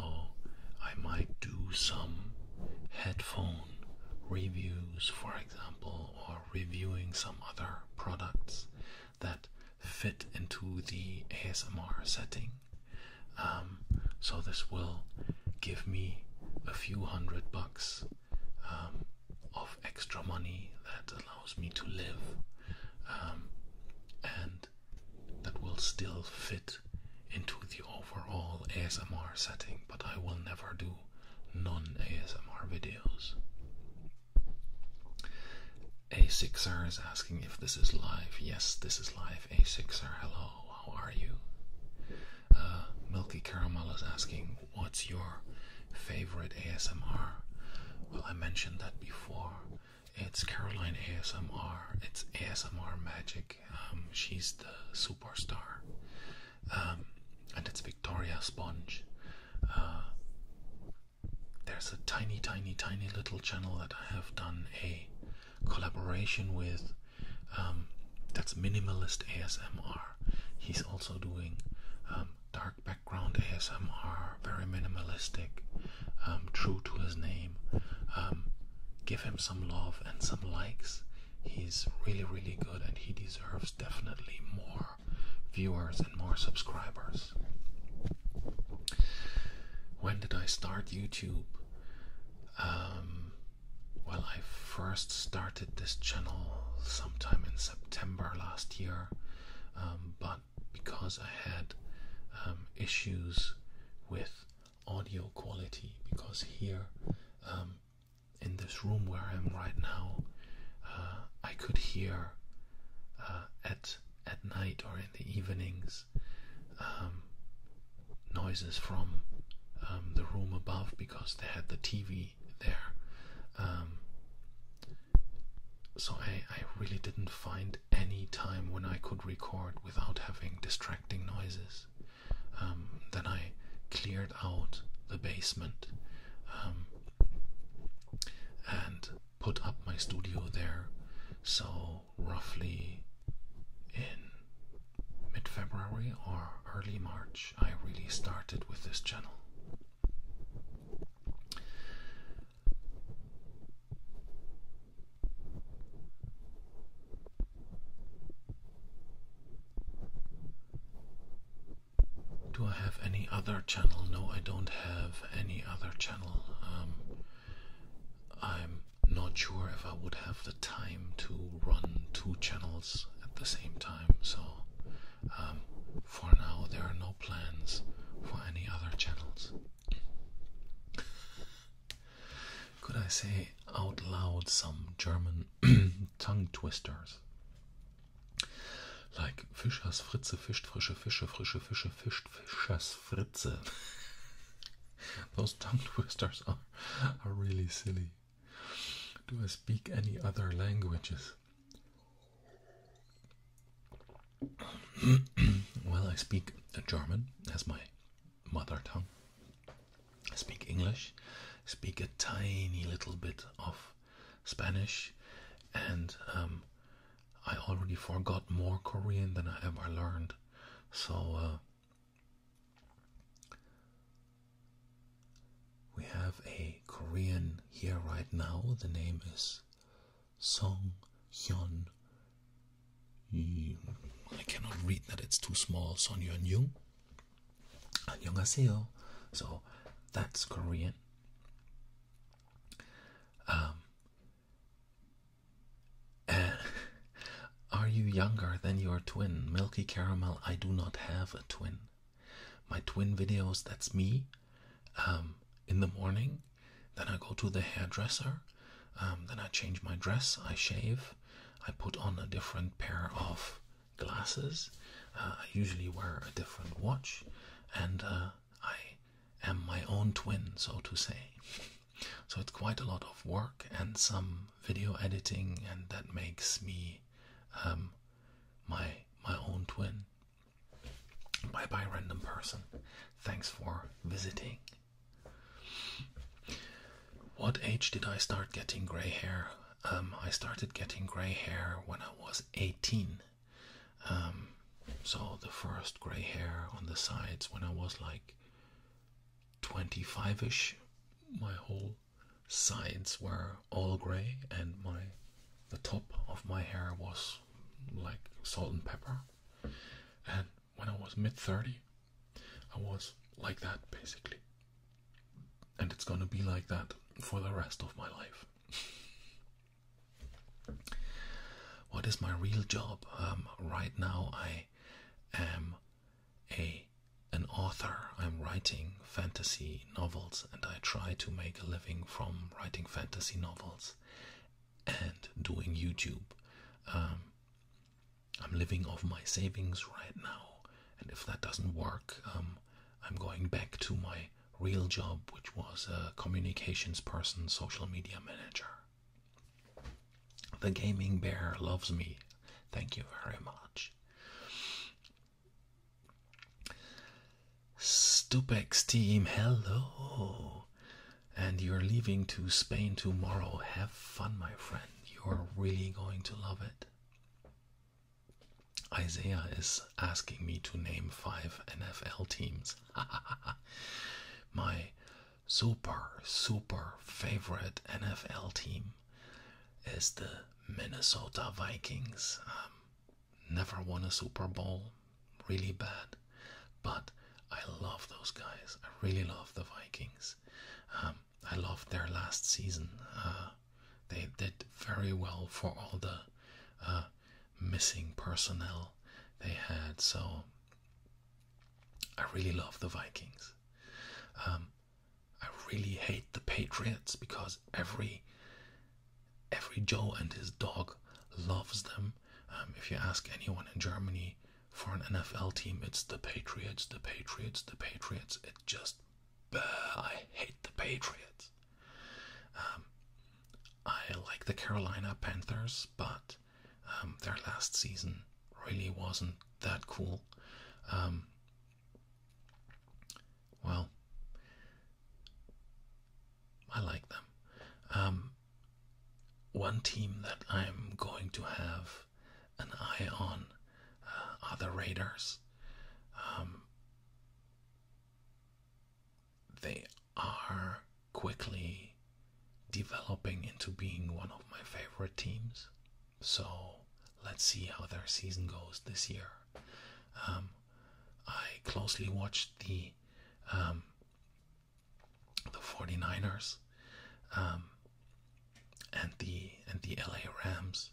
I might do some headphone reviews, for example, or reviewing some other products that fit into the ASMR setting. Um, so this will give me a few hundred bucks um, of extra money that allows me to live. Um, and that will still fit into the overall ASMR setting, but I will never do non ASMR videos. A6R is asking if this is live. Yes, this is live. A6R, hello, how are you? Uh, Milky Caramel is asking, what's your favorite ASMR? Well, I mentioned that before. It's Caroline ASMR, it's ASMR Magic, um, she's the superstar, um, and it's Victoria Sponge. Uh, there's a tiny, tiny, tiny little channel that I have done a collaboration with. Um, that's minimalist ASMR. He's also doing dark background ASMR, very minimalistic, true to his name give him some love and some likes. He's really, really good, and he deserves definitely more viewers and more subscribers. When did I start YouTube? Um, well, I first started this channel sometime in September last year, um, but because I had um, issues with audio quality because here um, in this room where I'm right now, uh, I could hear uh, at at night or in the evenings um, noises from um, the room above because they had the TV there. so I, I really didn't find any time when I could record without having distracting noises. Um, then I cleared out the basement um, and put up my studio there. So, roughly in mid February or early March, I really started with this channel. Do I have any other channel? No, I don't have any other channel. Um, I'm not sure if I would have the time to run two channels at the same time, so um, for now, there are no plans for any other channels could I say out loud some German tongue twisters? Like Fischers Fritze fischt frische Fische, frische Fische fischt Fischers Fritze. Those tongue twisters are, are really silly. Do I speak any other languages? well, I speak German as my mother tongue, speak English, speak a tiny little bit of Spanish, and um, I already forgot more Korean than I ever learned. So uh, we have a Korean here right now. The name is Song Hyun I cannot read that it's too small. Son Yeonjung. 안녕하세요. Oh. So that's Korean. Um, are you younger than your twin? Milky Caramel, I do not have a twin. My twin videos, that's me um, in the morning. Then I go to the hairdresser. Um, then I change my dress, I shave, I put on a different pair of glasses, uh, I usually wear a different watch, and uh, I am my own twin, so to say. So it's quite a lot of work and some video editing, and that makes me um, my my own twin. Bye bye, random person. Thanks for visiting. What age did I start getting gray hair? Um, I started getting gray hair when I was 18. Um, so the first gray hair on the sides when I was like 25 ish. My whole sides were all gray, and my the top of my hair was like salt and pepper when I was mid 30, I was like that basically. And it's gonna be like that for the rest of my life. what is my real job? Um, right now, I am a an author. I'm writing fantasy novels, and I try to make a living from writing fantasy novels and doing YouTube. Um, I'm living off my savings right now, and if that doesn't work, um, I'm going back to my real job, which was a communications person, social media manager. The gaming bear loves me. Thank you very much. Stupex team, hello and you're leaving to Spain tomorrow. Have fun, my friend. You're really going to love it. Isaiah is asking me to name five NFL teams. my super, super favorite NFL team is the Minnesota Vikings. Um, never won a Super Bowl, really bad, but I love those guys. I really love the Vikings. Um, I loved their last season. Uh, they did very well for all the uh, missing personnel they had. So I really love the Vikings. Um, I really hate the Patriots because every every Joe and his dog loves them. Um, if you ask anyone in Germany for an NFL team, it's the Patriots, the Patriots, the Patriots. It just, bah, I hate the Patriots. Um, I like the Carolina Panthers, but um, their last season really wasn't that cool. Um, well, I like them. one team that I'm going to have an eye on uh, other raiders. Um, they are quickly developing into being one of my favorite teams. So let's see how their season goes this year. Um, I closely watched the um, the 49ers um, and the and the LA Rams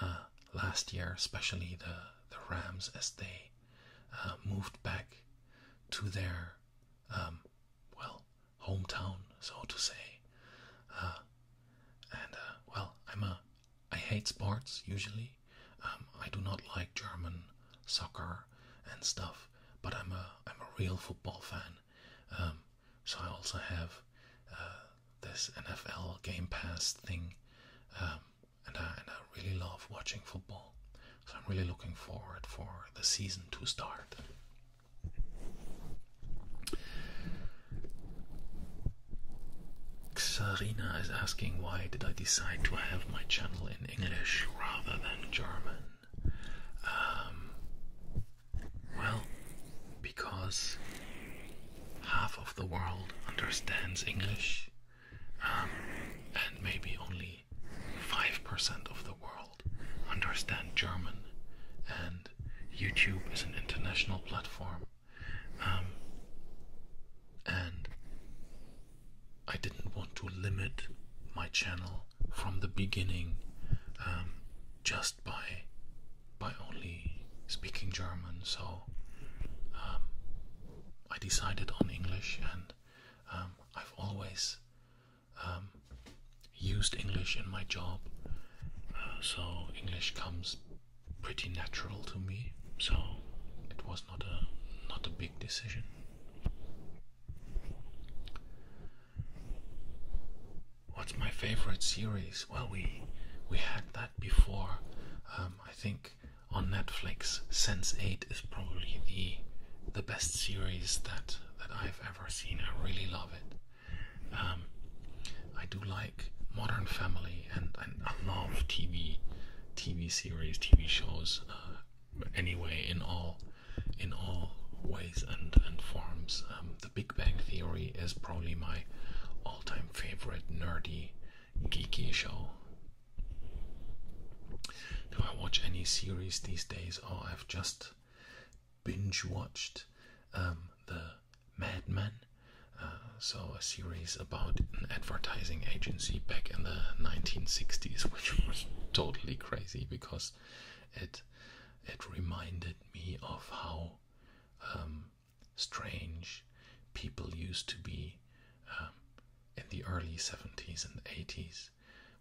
uh, last year, especially the the Rams as they uh, moved back to their um, well hometown, so to say. Uh, and well, I'm a I hate sports usually. Um, I do not like German soccer and stuff, but I'm a I'm a real football fan, um, so I also have uh, this NFL Game Pass thing, um, and I and I really love watching football. So I'm really looking forward for the season to start. Xarina is asking why did I decide to have my channel in English rather than German? Um, well, because half of the world understands English, um, and maybe only 5% of the world understand German, and YouTube is an international platform. Um, and I didn't want to limit my channel from the beginning um, just by by only speaking German. So um, I decided on English, and um, I've always used English in my job. Uh, so English comes pretty natural to me. So it was not a not a big decision. What's my favorite series? Well, we we had that before. Um, I think on Netflix, Sense Eight is probably the the best series that that I've ever seen. I really love it. Um, I do like Modern Family, and, I love TV TV series, TV shows. Uh, anyway in all in all ways and and forms. Um, the Big Bang Theory is probably my all-time favorite nerdy, geeky show. Do I watch any series these days? Oh, I've just binge watched um, the Mad Men. Uh, so a series about an advertising agency back in the 1960s, which was totally crazy because it it reminded me of how um, strange people used to be um, in the early 70s and 80s,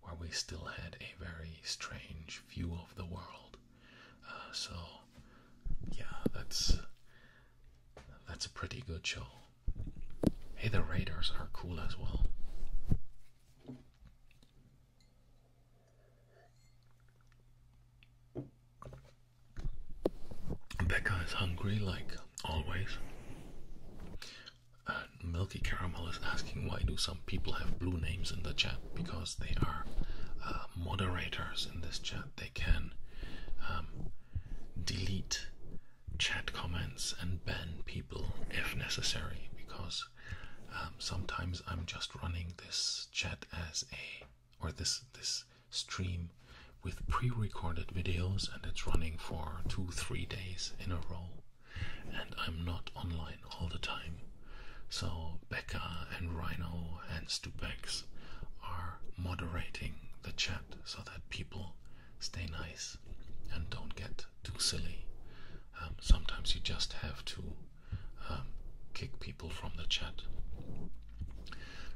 where we still had a very strange view of the world. Uh, so, yeah, that's that's a pretty good show. Hey, the Raiders are cool as well. Becca is hungry, like always. Milky Caramel is asking why do some people have blue names in the chat? Because they are uh, moderators in this chat. They can um, delete chat comments and ban people if necessary because um, sometimes I'm just running this chat as a or this this stream with pre-recorded videos, and it's running for two three days in a row, and I'm not online all the time. So Becca and Rhino and Stupex are moderating the chat so that people stay nice and don't get too silly. Um, sometimes you just have to um, kick people from the chat.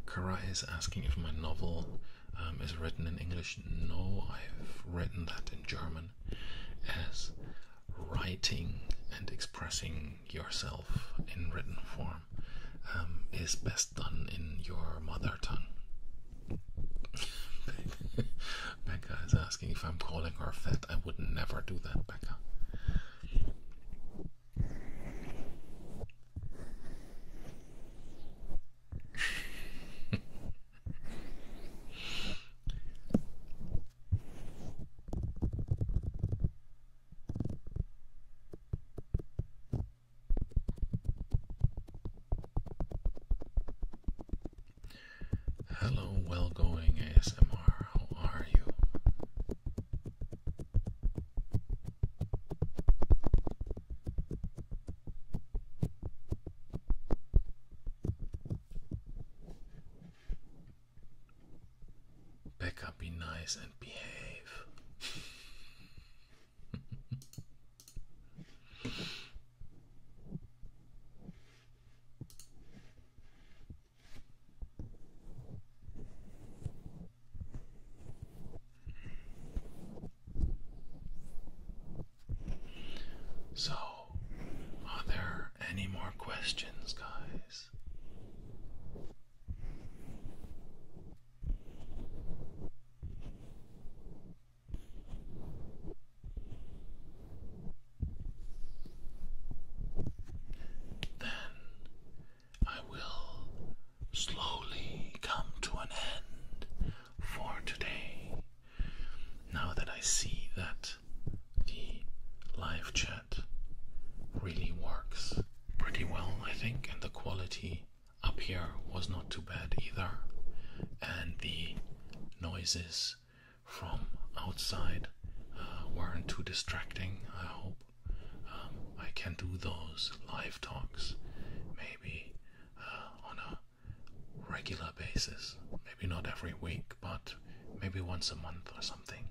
Karai is asking if my novel um, is written in English. No, I've written that in German as writing and expressing yourself in written form is best done in your mother tongue. Becca is asking if I'm calling her fat. I would never do that, Becca. Hello, well going ASMR. How are you? Back be nice and behave. So, are there any more questions, guys? Then I will slowly come to an end for today. Now that I see that the live chat really works pretty well, I think, and the quality up here was not too bad either, and the noises from outside uh, weren't too distracting, I hope. Um, I can do those live talks maybe uh, on a regular basis. Maybe not every week, but maybe once a month or something.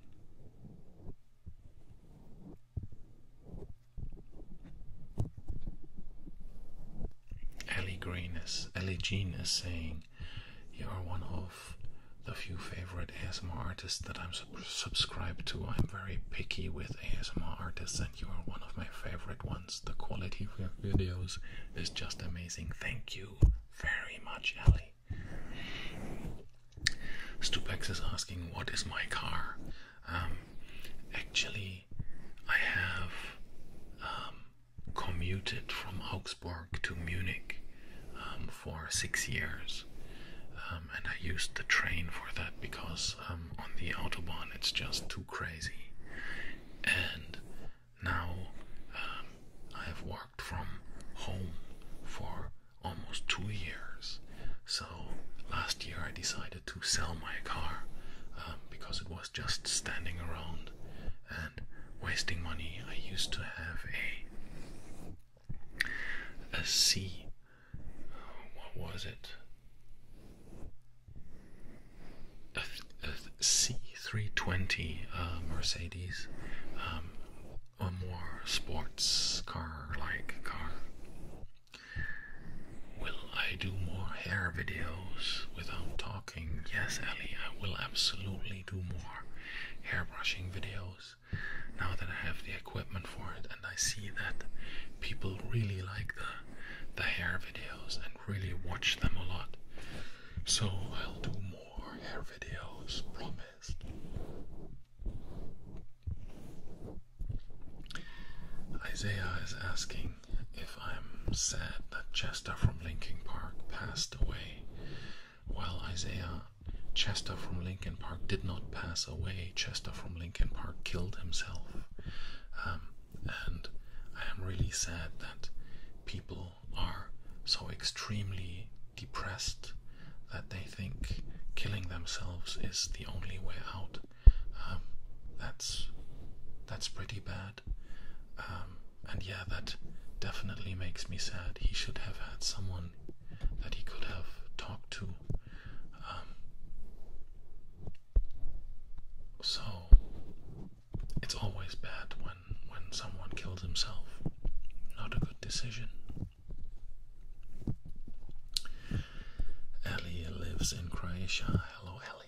Ellie Green is Ellie Jean is saying you are one of the few favorite ASMR artists that I'm subscribed to. I'm very picky with ASMR artists, and you are one of my favorite ones. The quality of your videos is just amazing. Thank you very much, Ellie. Stupex is asking, What is my car? Um, actually, I have um, commuted from Augsburg to Munich um, for six years. Um, and I used the train for that because um, on the Autobahn it's just too crazy. And now I have worked from home for almost two years. So last year I decided to sell my car because it was just standing around and wasting money. I used to have a a C. What was it? A, a C320 uh, Mercedes, um, a more sports car-like car. Will I do more hair videos without talking? Yes, Ellie, I will absolutely do more hair brushing videos now that I have the equipment for it, and I see that people really like the the hair videos and really watch them a lot. So I'll do more hair videos, promised. Isaiah is asking if I'm sad that Chester from Linkin Park passed passed away. Well, Isaiah Chester from Lincoln Park did not pass away. Chester from Lincoln Park killed himself. Um, and I am really sad that people are so extremely depressed that they think killing themselves is the only way out. Um, that's that's pretty bad. Um, and yeah, that definitely makes me sad. He should have had someone that he could have talked to. Um, so it's always bad when when someone kills himself. Not a good decision. Ellie lives in Croatia. Hello, Ellie.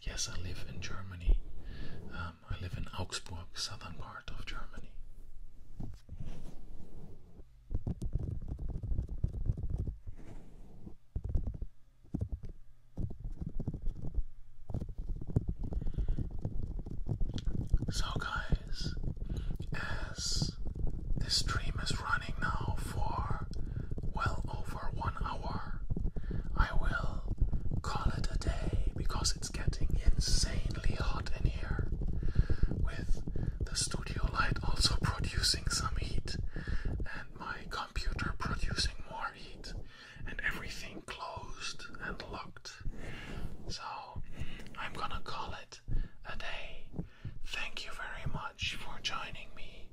Yes, I live in Germany. Um, I live in Augsburg, southern part of Germany. So, guys, as this stream is running now for well over one hour. I will call it a day because it's getting insanely hot in here, with the studio light also producing some heat and my computer producing more heat and everything closed and locked. So I'm gonna call it a day. Thank you very much for joining me